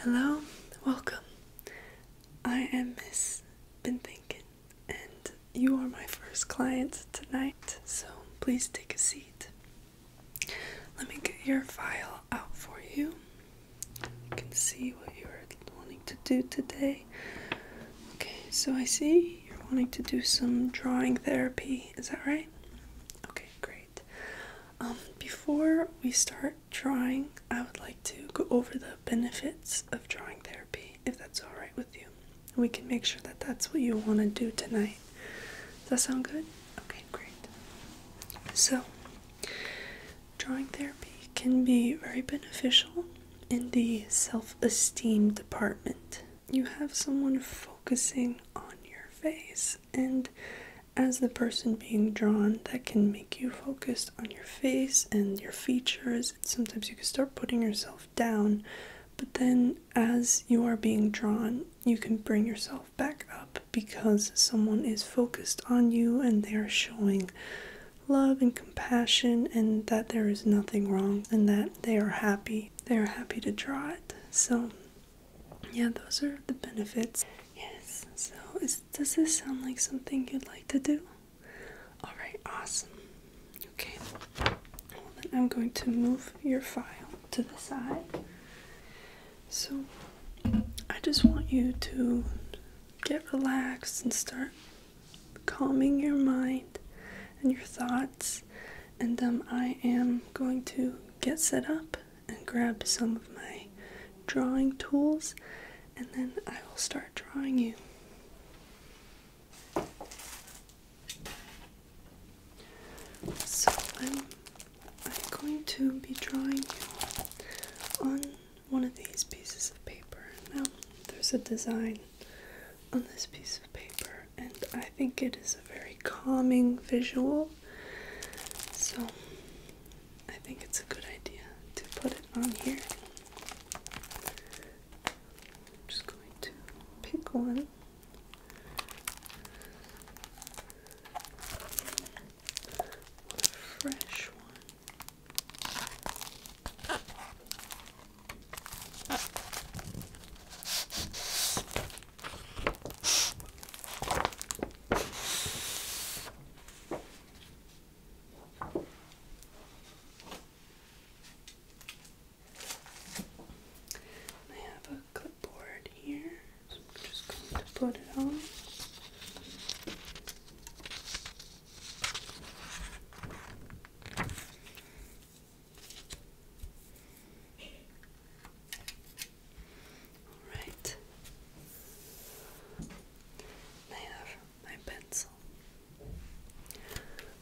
Hello, welcome. I am Miss Been Thinking, and you are my first client tonight, so please take a seat. Let me get your file out for you. I can see what you're wanting to do today. Okay, so I see you're wanting to do some drawing therapy, is that right? Okay, great. Um, before we start drawing, I would like to go over the benefits of drawing therapy, if that's all right with you. We can make sure that that's what you want to do tonight. Does that sound good? Okay, great. So, drawing therapy can be very beneficial in the self esteem department. You have someone focusing on your face and as the person being drawn, that can make you focused on your face and your features. Sometimes you can start putting yourself down, but then as you are being drawn, you can bring yourself back up because someone is focused on you and they are showing love and compassion and that there is nothing wrong and that they are happy. They are happy to draw it. So yeah, those are the benefits. Yes, so does this sound like something you'd like to do? Alright, awesome. Okay, well, then I'm going to move your file to the side. So I just want you to get relaxed and start calming your mind and your thoughts. And um, I am going to get set up and grab some of my drawing tools, and then I will start drawing you. So I'm, going to be drawing you on one of these pieces of paper. Now, there's a design on this piece of paper, and I think it is very calming visual. So I think it's a good idea to put it on here. I'm just going to pick one. fresh one. I have a clipboard here, so I'm just going to put it on. Alright. I have my pencil.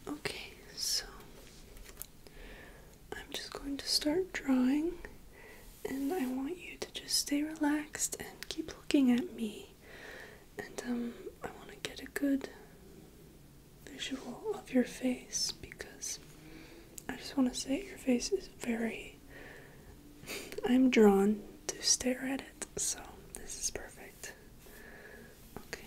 Okay, so I'm just going to start drawing, and I want you to just stay relaxed and keep looking at me. And um, I want to get a good visual of your face because I just want to say your face is very I'm drawn to stare at it, so this is perfect. Okay.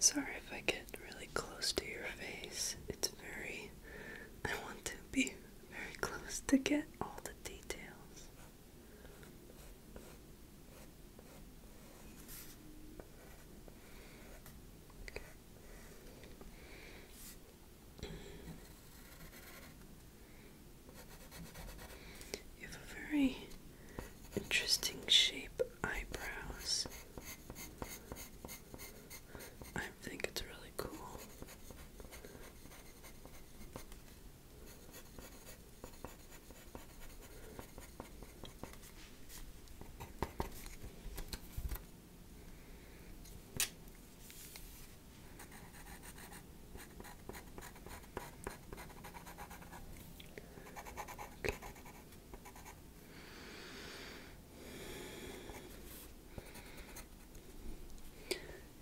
Sorry if I get really close to your face. It's very. I want to be very close to get all the details. You have a very interesting shape eyebrows. I think it's really cool.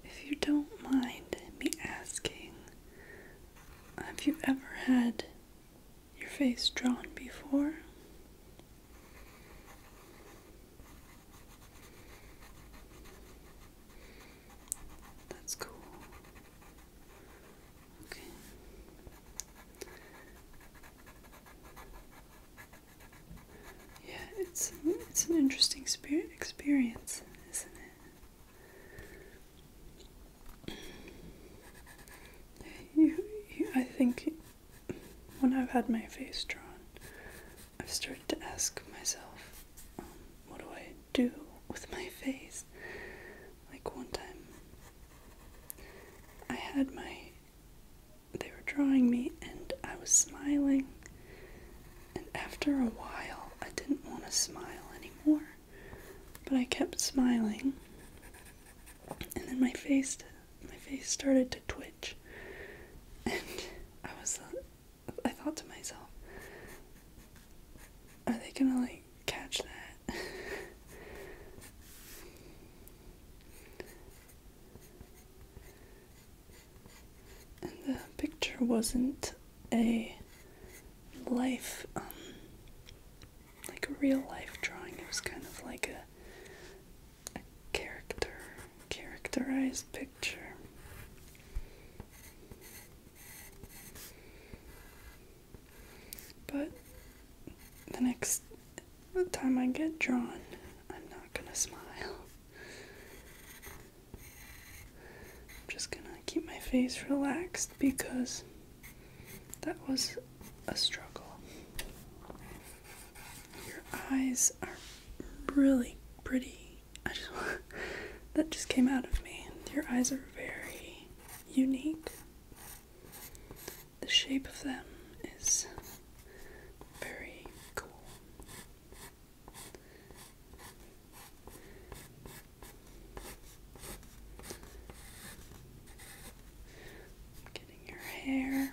If you don't mind me asking, have you ever had your face drawn before? That's cool. Okay. Yeah, it's it's an interesting spirit experience, isn't it? you, I think when I've had my face drawn, I've started to ask myself, um, what do I do with my face? Like one time, I had my. They were drawing me and I was smiling, and after a while, I didn't want to smile anymore, but I kept smiling, and then my face my face started to twitch. And I was, uh, I thought to myself, are they gonna like catch that? and the picture wasn't a life, um, like a real life drawing, it was kind of like a a character, characterized picture. But the next time I get drawn, I'm not gonna smile. I'm just gonna keep my face relaxed because that was a struggle. Your eyes are really pretty. I just that just came out of me. Your eyes are very unique. The shape of them is very cool. Getting your hair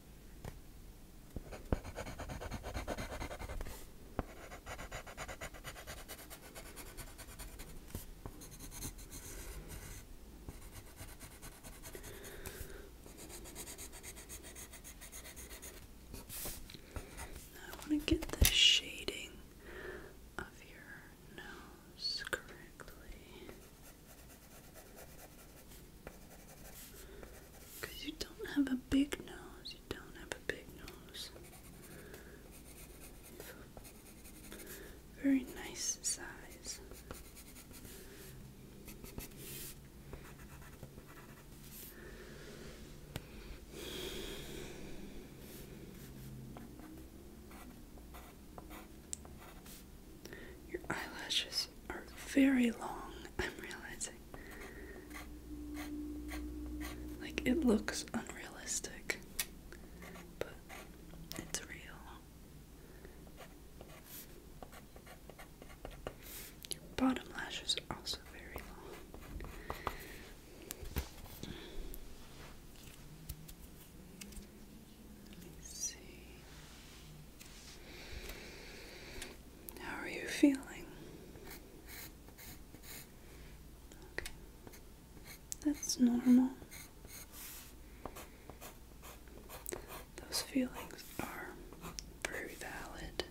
I want to get the shading of your nose correctly. Because you don't have a big nose, you don't have a big nose. Very nice size. Your eyelashes are very long, I'm realizing. Like, it looks unrealistic, but it's real. Your bottom lash is also very long. Let me see. How are you feeling? That's normal. Those feelings are very valid.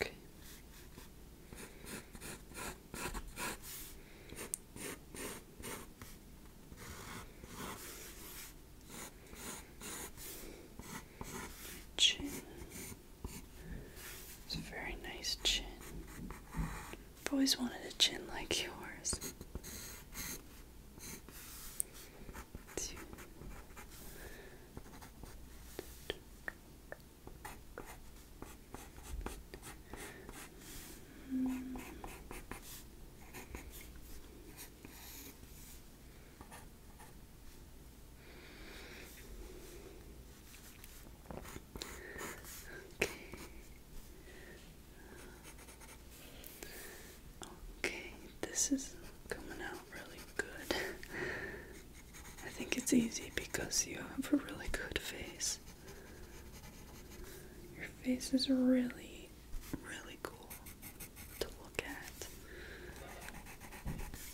Okay. Chin. It's a very nice chin. I've always wanted a chin like yours. Mm. Okay. Okay, this is coming out really good. I think it's easy because you have a really good face. Your face is really, really cool to look at.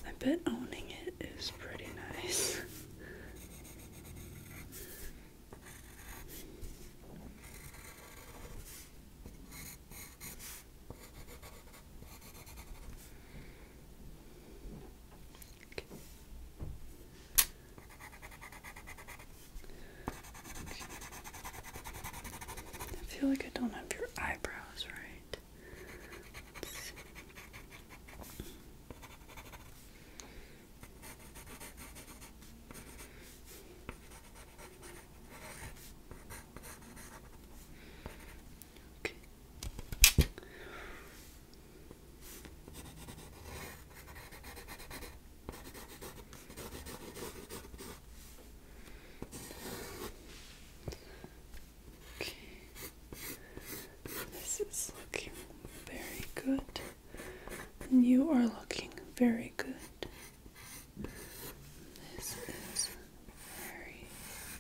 I bet owning it is pretty nice. I feel like I don't have your eyebrows right. Okay. Okay. This is looking very good. you are looking very good. This is very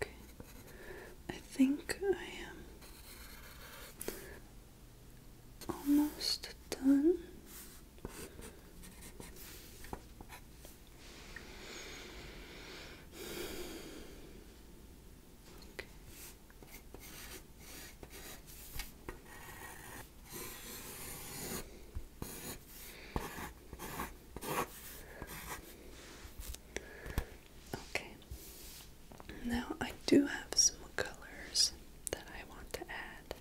Okay, I think I am almost done. Okay. Now I do have some colors that I want to add.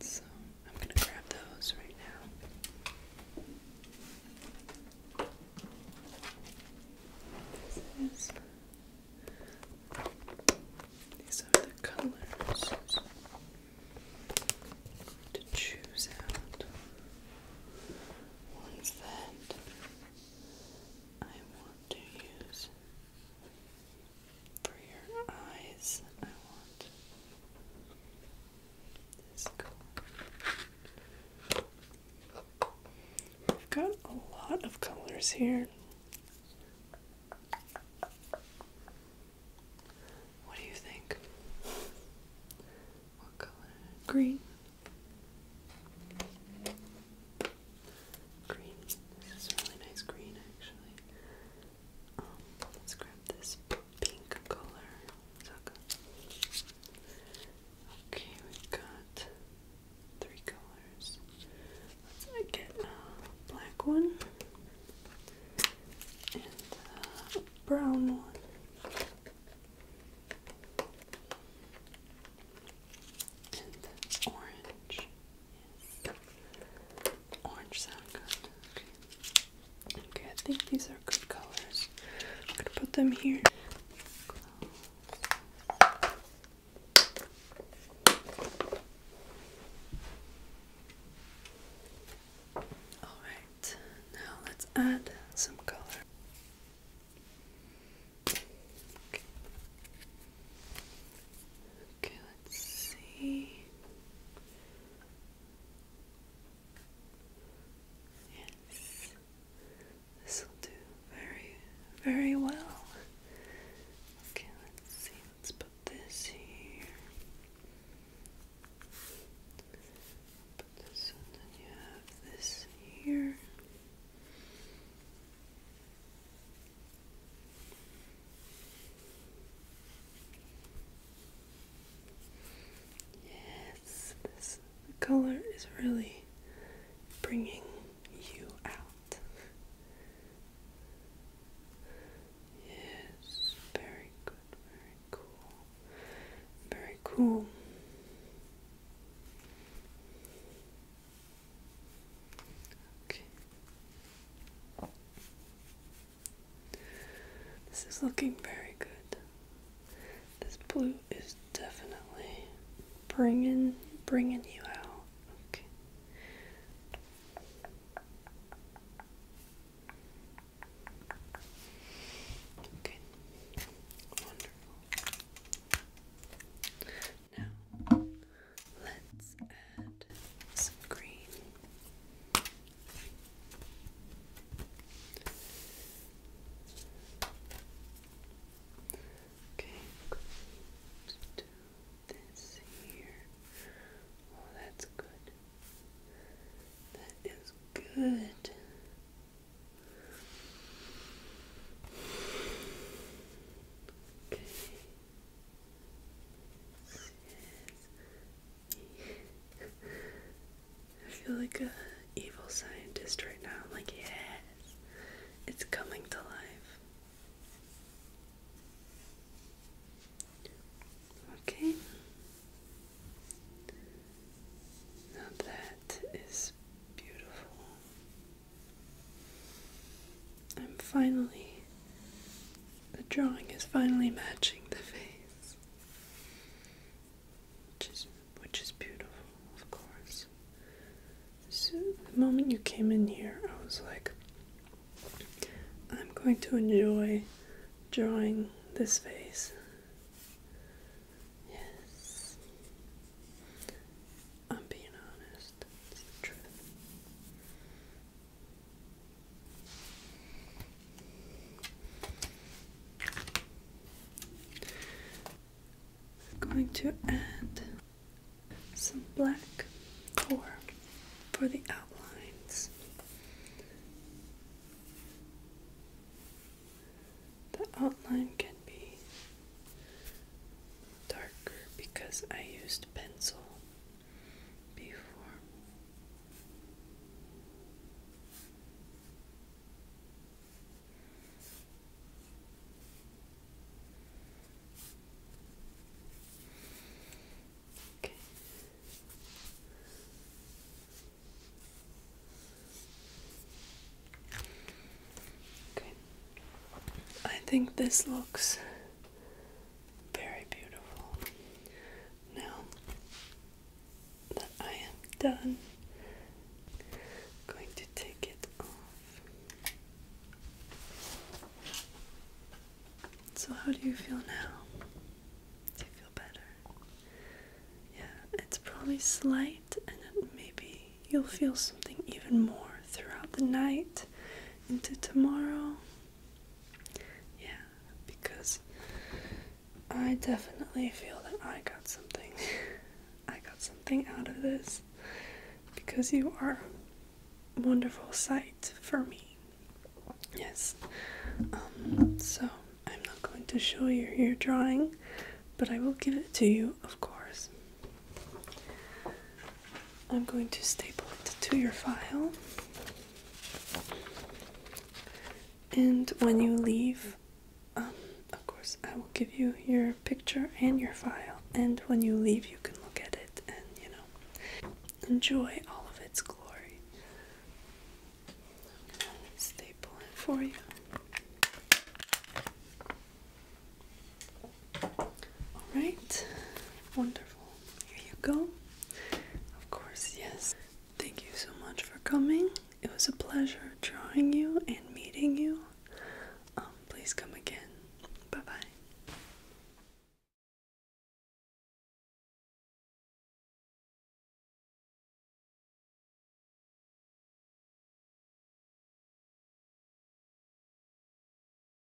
So I'm going to grab those right now. This is these are the colors to choose out ones that I want to use for your eyes, I want this color. We've got a lot of colors here. What do you think? What color? Green green. This is a really nice green, actually. Um, let's grab this pink color. Okay, we've got three colors. Let's uh, get a black one and a brown one. And orange. Orange sound good. Okay. I think these are good colors. I'm gonna put them here. All right, now let's add some color. Okay, okay Let's see. Yes, this will do very, very well. Okay, let's see. Let's put this here. Put this, and then you have this here. Yes, this the color is really bringing you out. Yes, very good, very cool, very cool. Okay. This is looking very good. This blue is definitely bringing bringing you out. Okay. Okay. Wonderful. Now Let's add some green. Okay, let do this here. Oh, that's good. That is good. Okay. I feel like a evil scientist right now. I'm like, yes, it's coming to life. Okay. Now that is beautiful. I'm finally the drawing is finally matching the face, which is, which is beautiful, of course. the moment you came in here, I was like, I'm going to enjoy drawing this face. Yes. I'm being honest. It's the truth. I'm going to add some black core for the outlines. The outline can be darker because I used pencil before. Okay. Okay. I think this looks very beautiful. Now that I am done, going to take it off. So, how do you feel now? Do you feel better? Yeah, it's probably slight, and maybe you'll feel something even more throughout the night into tomorrow. Yeah, because I definitely feel that I got something. I got something out of this because you are a wonderful sight for me. Yes. Um, so I'm not going to show you your drawing, but I will give it to you, of course. I'm going to staple it to your file. And when you leave, um, of course, I will give you your picture and your file. And when you leave, you can look at it and, you know, enjoy all of its glory. staple it for you. Alright, wonderful. Here you go. Of course, yes. Thank you so much for coming. It was a pleasure drawing you and meeting you. Um, please come again. Bye bye.